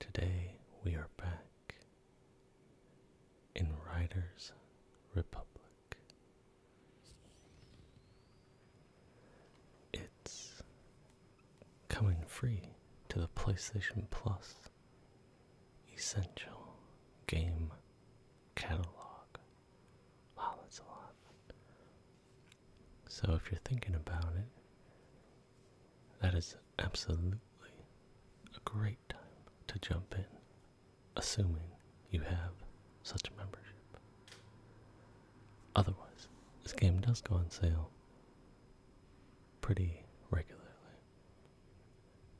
Today we are back in Riders Republic. It's coming free to the PlayStation Plus Essential Game Catalog. Wow, that's a lot. So if you're thinking about it, that is absolutely a great time to jump in, assuming you have such membership. Otherwise, this game does go on sale pretty regularly.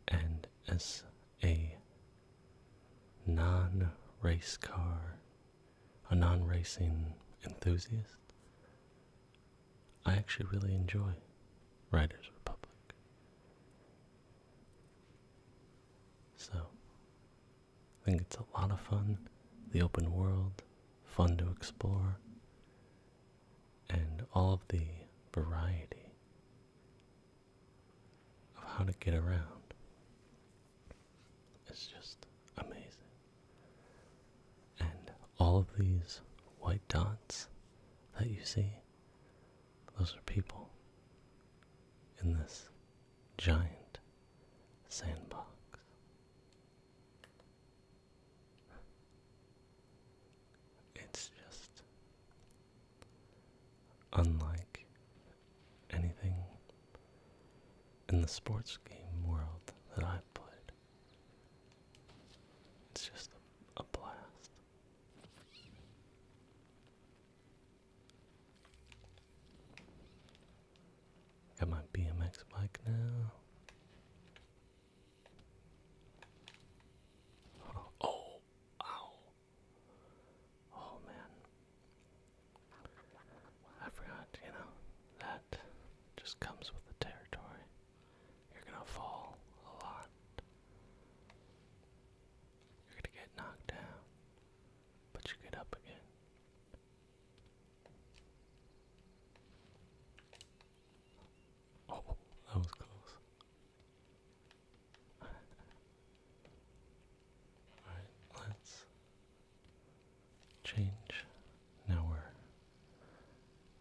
And as a non race car, a non racing enthusiast, I actually really enjoy Riders Republic. So, I think it's a lot of fun, the open world, fun to explore, and all of the variety of how to get around. It's just amazing. And all of these white dots that you see, those are people in this giant sandbox. It's just unlike anything in the sports game world that I've played. It's just a, blast. Got my BMX bike now. Oh, ow. Oh man. I forgot, you know, that just comes with the territory. You're gonna fall a lot. You're gonna get knocked down, but you get up again. Oh, that was close. Alright, let's change now we're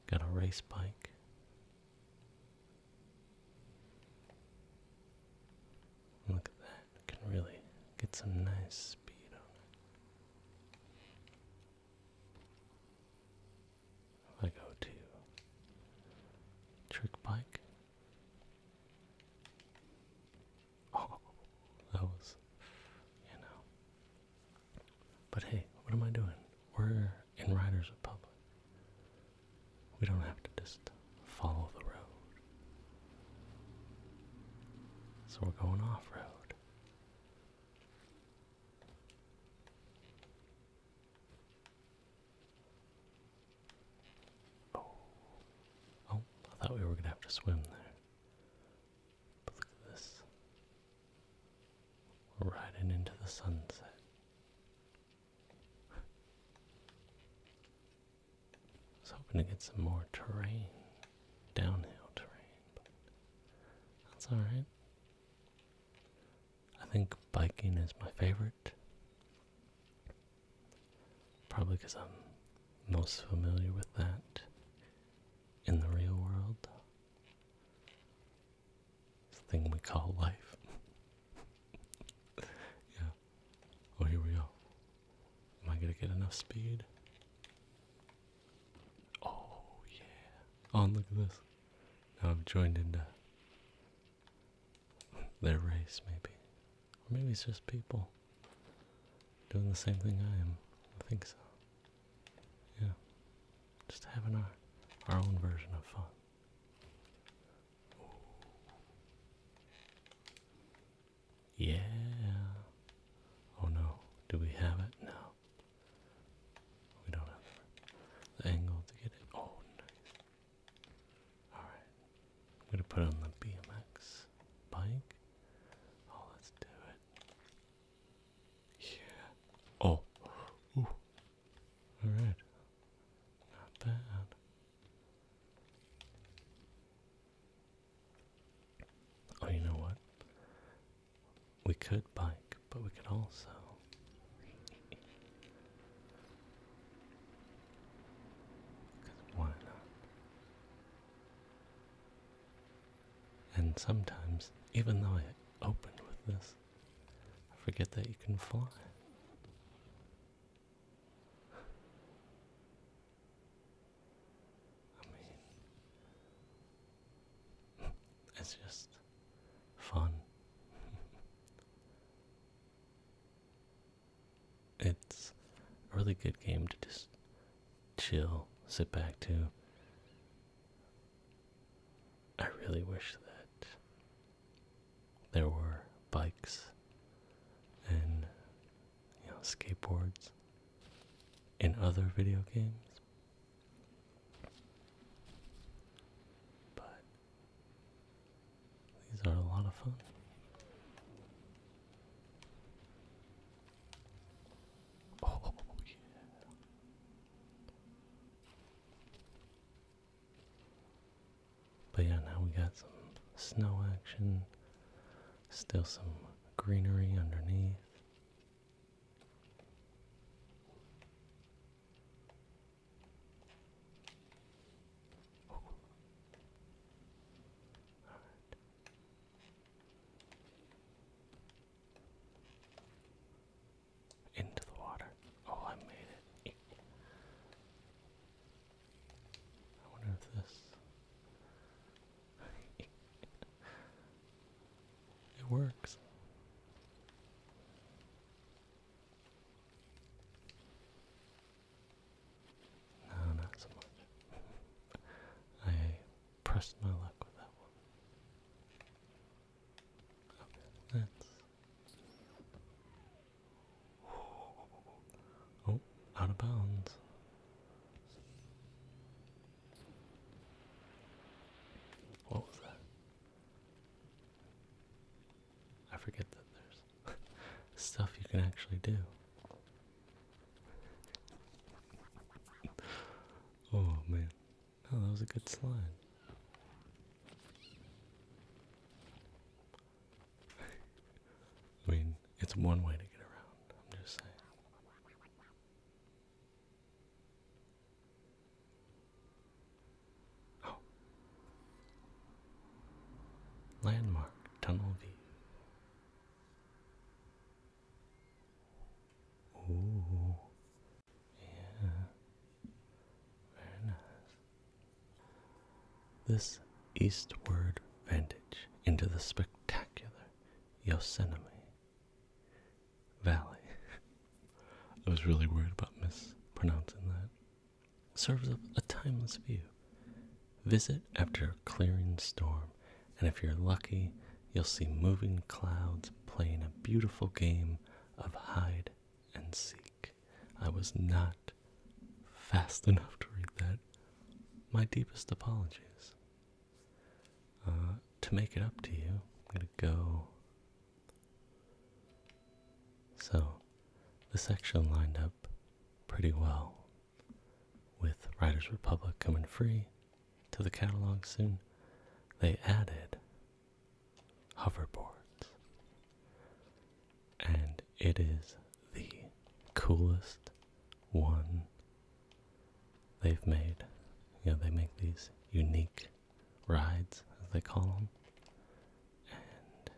got a race bike. Look at that. can really get some nice speed on it. I go to trick bike. Oh, that was, you know, but hey, what am I doing? We're in Riders public. We don't have to just follow the road. So we're going off road. Oh, I thought we were going to have to swim there look at this. riding into the sunset. I was hoping to get some more terrain, downhill terrain, but that's alright. I think biking is my favorite. Probably because I'm most familiar with that in the real world. This thing we call life. yeah. Oh, here we go. Am I gonna get enough speed? Oh, yeah. Oh, look at this. Now I've joined into their race, maybe. Or maybe it's just people doing the same thing I am. I think so. Yeah. Just having our our own version of fun. Yeah. Oh no. Do we have it? No. We don't have the angle to get it. Oh, nice. Alright. I'm going to put on the BMX bike. Oh, let's do it. Yeah. Oh. All right. Not bad. Oh, you know what? We could bike, but we could also. Cause why not? And sometimes, even though I opened with this, I forget that you can fly. I mean, it's just fun. it's a really good game to just chill, sit back to. I really wish that there were bikes and you know skateboards in other video games. But these are a lot of fun. Oh yeah. But yeah, now we got some snow action, still some greenery underneath. Into the water. Oh, I made it. I wonder if this. it works. No, not so much. I pressed my luck with that one. That's. Oh, out of bounds. What was that? I forget that there's stuff you can actually do. Oh man. Oh, that was a good slide. I mean, it's one way to get around, I'm just saying. Oh. Landmark Tunnel View. Oh, yeah, very nice. This eastward vantage into the spectacular Yosemite Valley. I was really worried about mispronouncing that. Serves up a timeless view. Visit after clearing storm, and if you're lucky, you'll see moving clouds playing a beautiful game of hide and seek. I was not fast enough to read that. My deepest apologies. Uh, to make it up to you, I'm going to go. So, the section lined up pretty well with *Writer's Republic coming free to the catalog soon. They added hoverboards. And it is the coolest one they've made. You know, they make these unique rides, as they call them. And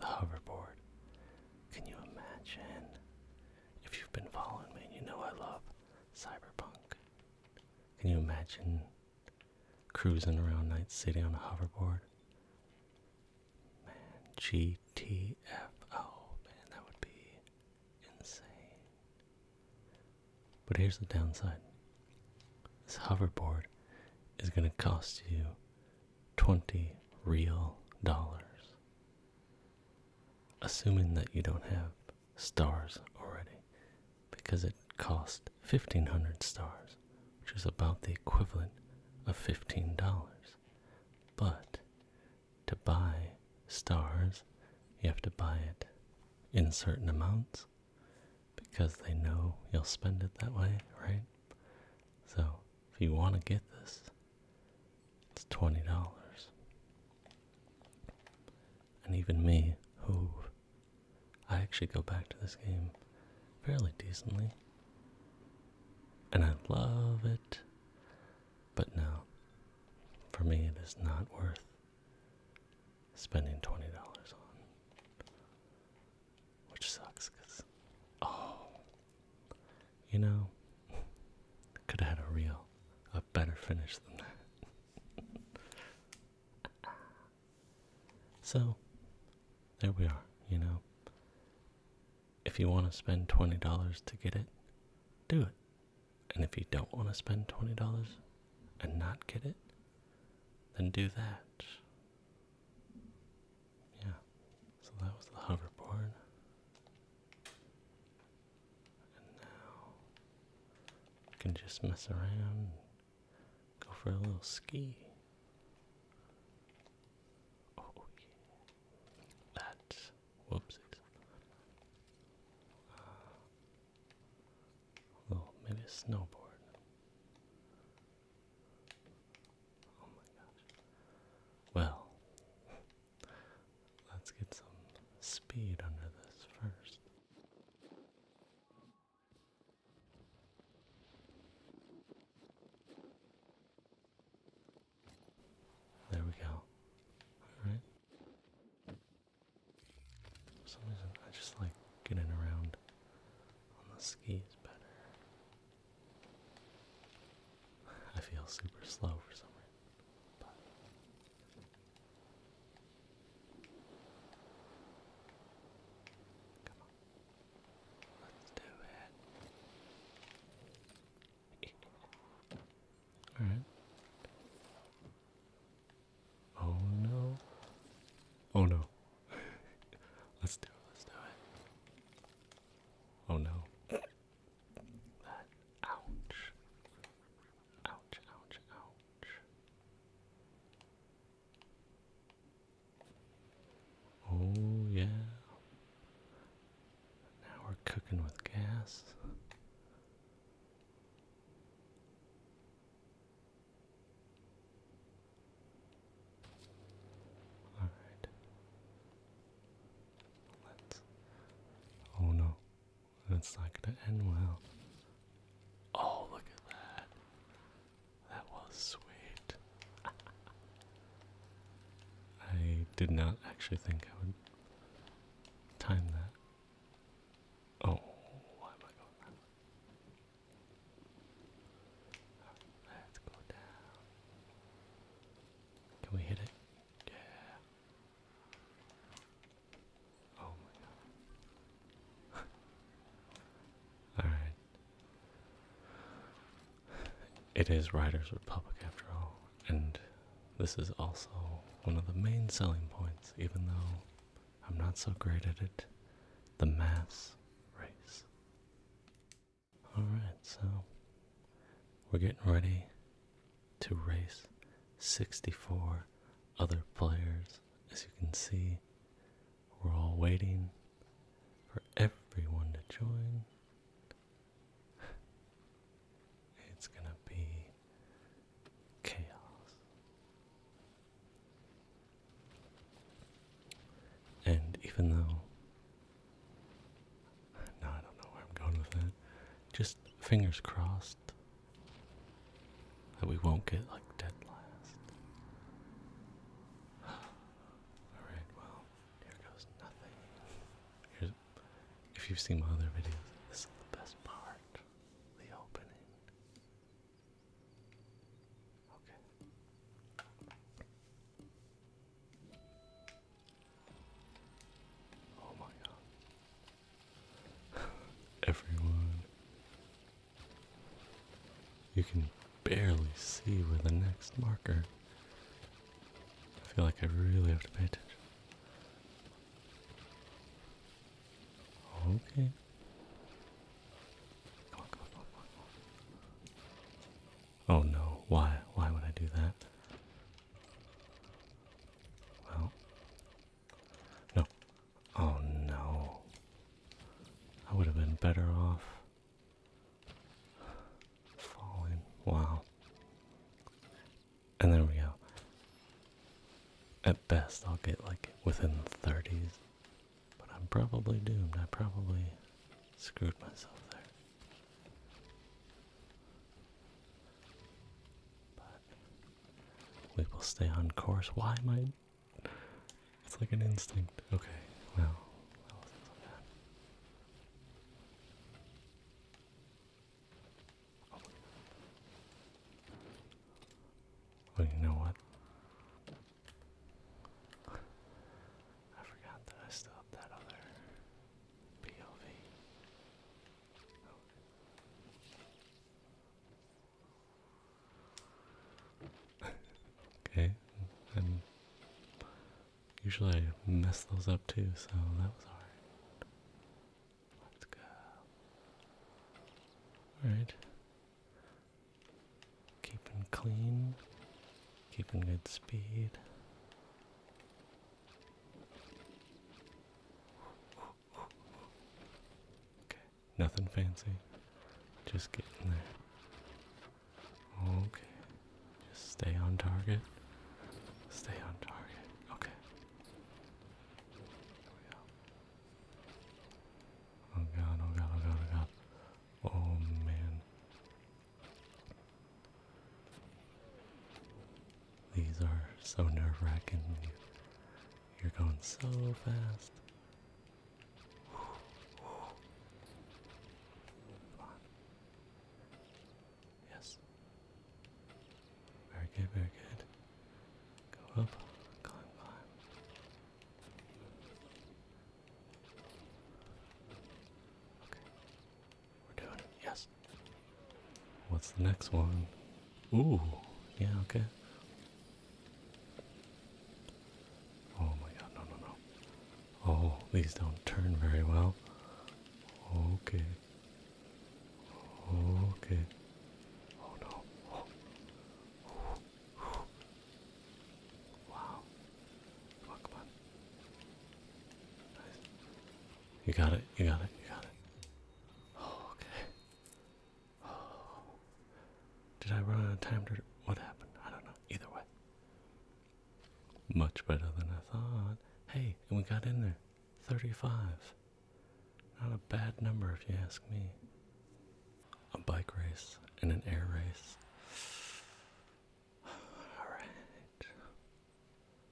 the hoverboard. Can you imagine? If you've been following me, you know I love cyberpunk can you imagine cruising around Night City on a hoverboard? Man, GTFO, man, that would be insane. But here's the downside this hoverboard is going to cost you 20 real dollars. Assuming that you don't have stars already because it cost 1500 stars, which is about the equivalent of $15. But to buy stars, you have to buy it in certain amounts because they know you'll spend it that way, right? So if you want to get this, it's $20 and even me, who I actually go back to this game fairly decently. And I love it. But now for me, it is not worth spending $20 on. Which sucks, because, oh, you know, could have had a real, a better finish than that. so, there we are, you know. If you want to spend $20 to get it, do it. And if you don't want to spend $20 and not get it, then do that. Yeah, so that was the hoverboard now I can just mess around go for a little ski. Oh That whoopsies. Uh, oh, maybe a snowboard. Oh my gosh. Well, let's get some speed under this first. There we go. Alright. For some reason, I just like getting around on the skis better. I feel super slow for some reason, Come on. Let's do it. Alright. Oh no. Oh no. let's do it, let's do it. Oh no. ouch. Ouch, ouch, ouch. Oh, yeah. Now we're cooking with gas. All right. Let's. Oh no. That's not gonna end well. Oh, look at that. That was sweet. I did not actually think I would time that. Oh, why am I going that let's go down. Can we hit it? Yeah. Oh my god. Alright. It is Riders Republic after all, and this is also one of the main selling points, even though I'm not so great at it. The mass race. Alright, so we're getting ready to race 64 other players as you can see, we're all waiting for everyone to join. It's going to be chaos. And even though, no, I don't know where I'm going with that, just fingers crossed that we won't get like dead last. Alright, well, here goes nothing. if you've seen my other videos, this is the best part. The opening. Okay. Oh my god. Everyone. You can barely see where the next marker. I feel like I really have to pay attention. Okay. Come on, come on, come on, come on. Oh no, why? Why would I do that? Well, no. Oh no. I would have been better off falling. Wow. And there we go. At best, I'll get like within the 30s. But I'm probably doomed. I probably screwed myself there. But we will stay on course. Why am I? It's like an instinct. Okay, wow. Well, you know what? I forgot that I still that other POV okay, and usually I mess those up too, so that was alright. Let's go. Alright. Keeping clean, keeping good speed. Okay, nothing fancy. Just getting there. Okay, just stay on target. Stay on target. Okay. Oh, oh god, oh god, oh god. Oh man. These are so nerve wracking. You're going so fast. Yes. Very good, very good. Go up, climb, climb. Okay. We're doing it, yes. What's the next one? Ooh, yeah, okay. Oh my god, no, no, no. Oh, these don't turn very well. Okay. Okay. Oh no. Wow. Come on, come on. You got it, you got it, you got it. okay. did I run out of time to? What happened? I don't know. Either way, much better than I thought. Hey, we got in there. 35. Not a bad number if you ask me. A bike race and an air race. Alright.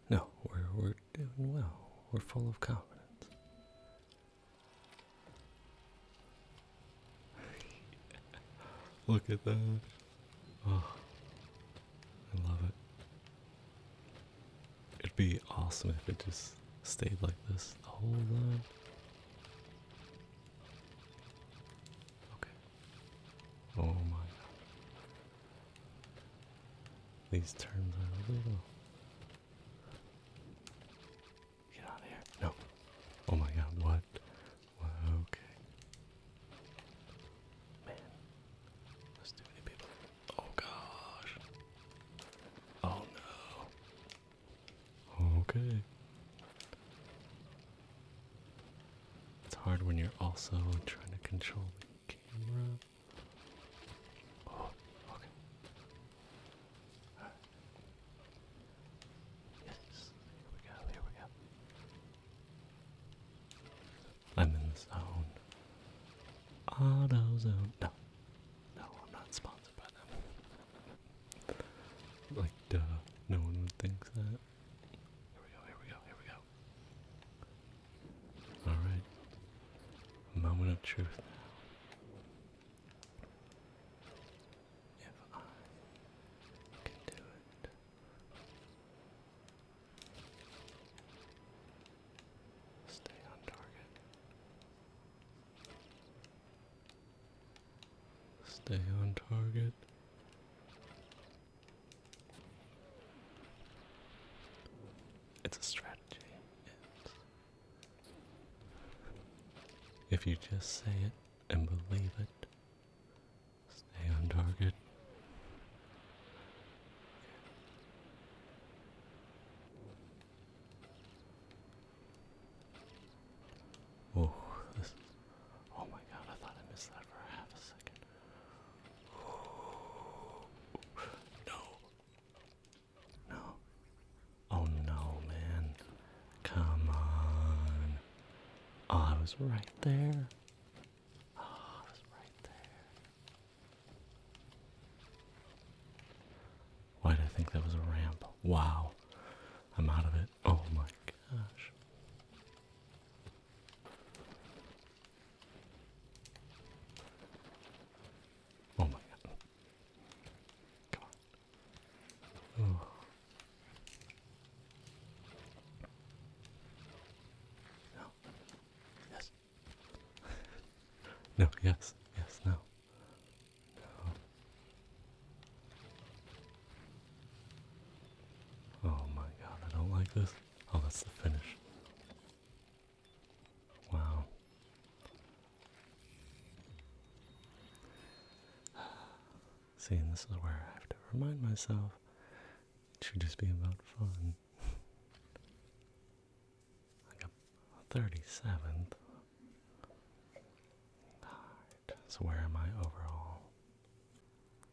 No, we're, we're doing well. We're full of confidence. Look at that. Oh, I love it. It'd be awesome if it just stayed like this the whole time. Okay. Oh my god. These terms are a little Get out of here. No. Oh my god, what? what? Okay. Man. There's too many people. Oh gosh. Oh no. Okay. It's hard when you're also trying to control the camera. Oh, okay. Yes, here we zone. No. No, I'm not sponsored by them. like, duh. No one would think that. Here we go, here we go, here we go. Alright. Moment of truth now. If I can do it. Stay on target. Stay on target. It's a strategy. If you just say it and believe it, stay on target. Oh, this oh my god, I thought I missed that for half a second. no. No. Oh no, man. Come on. Oh, I was right there. Oh, I was right there. Why did I think that was a ramp? Wow. I'm out of it. Oh my gosh. Oh my god. Come on. Oh. No. Yes. no, yes, yes, no. Oh my god, I don't like this. Oh, that's the finish. Wow. See, and this is where I have to remind myself it should just be about fun. like a 37th. Alright, so where am I overall?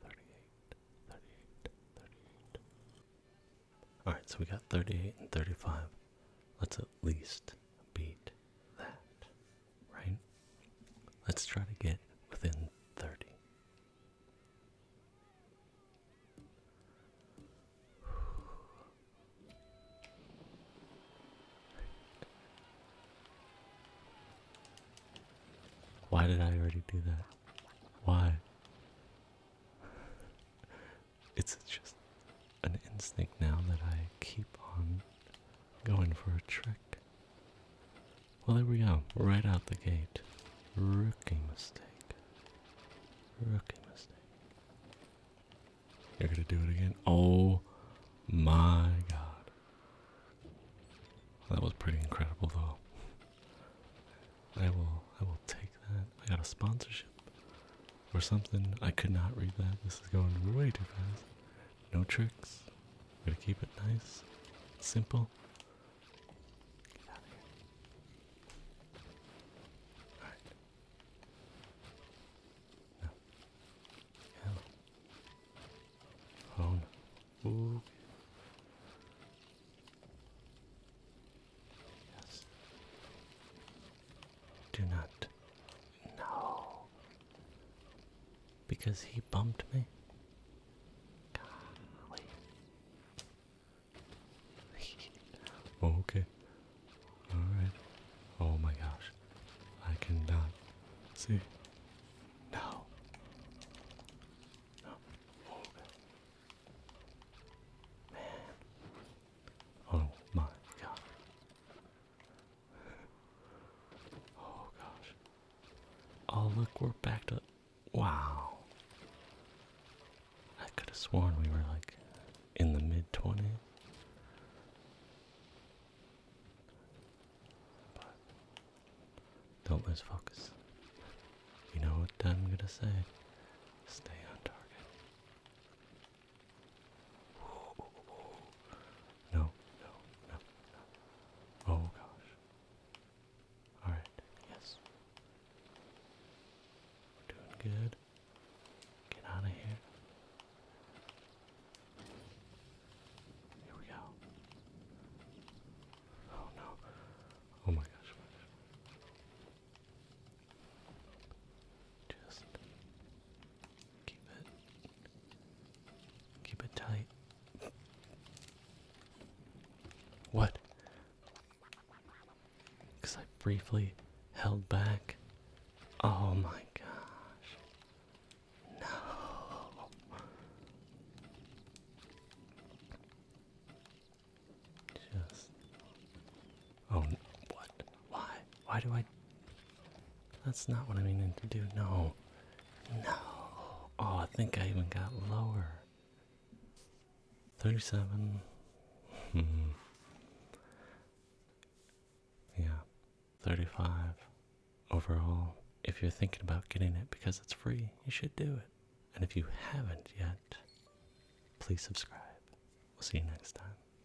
38, Alright, so we got 38 and 35. Let's at least beat that, right? Let's try to get within 30. Why did I already do that? Why? it's just an instinct now that I keep on going for a trick. Well, there we go, right out the gate. Rookie mistake. Rookie mistake. You're gonna do it again? Oh my god. That was pretty incredible though. I will I will take that. I got a sponsorship or something. I could not read that. This is going way too fast. No tricks. We're gonna keep it nice, simple. Get out of here. All right. No. Hello. Ooh. Yes. Do not. No. Because he bumped me? Golly. Oh, okay. Alright. Oh my gosh. I cannot see. No. No. Okay. Oh, man. Oh my god oh gosh. Oh look, we're backed up. wow. I could have sworn we were like in the mid twenties. don't lose focus. You know what I'm gonna say. Stay on target. No, no, no, no. Oh gosh. Alright, yes. doing good. Get out of here. Here we go. Oh no. Oh my gosh. Just keep it keep it tight. What? Because I briefly held back. Oh my gosh. No. Just Oh, what? Why? Why do I? That's not what I meaning to do. No, no. Oh, I think I even got lower. Thirty-seven. Hmm. yeah, thirty-five overall. If you're thinking about getting it because it's free, you should do it. And if you haven't yet, please subscribe. We'll see you next time.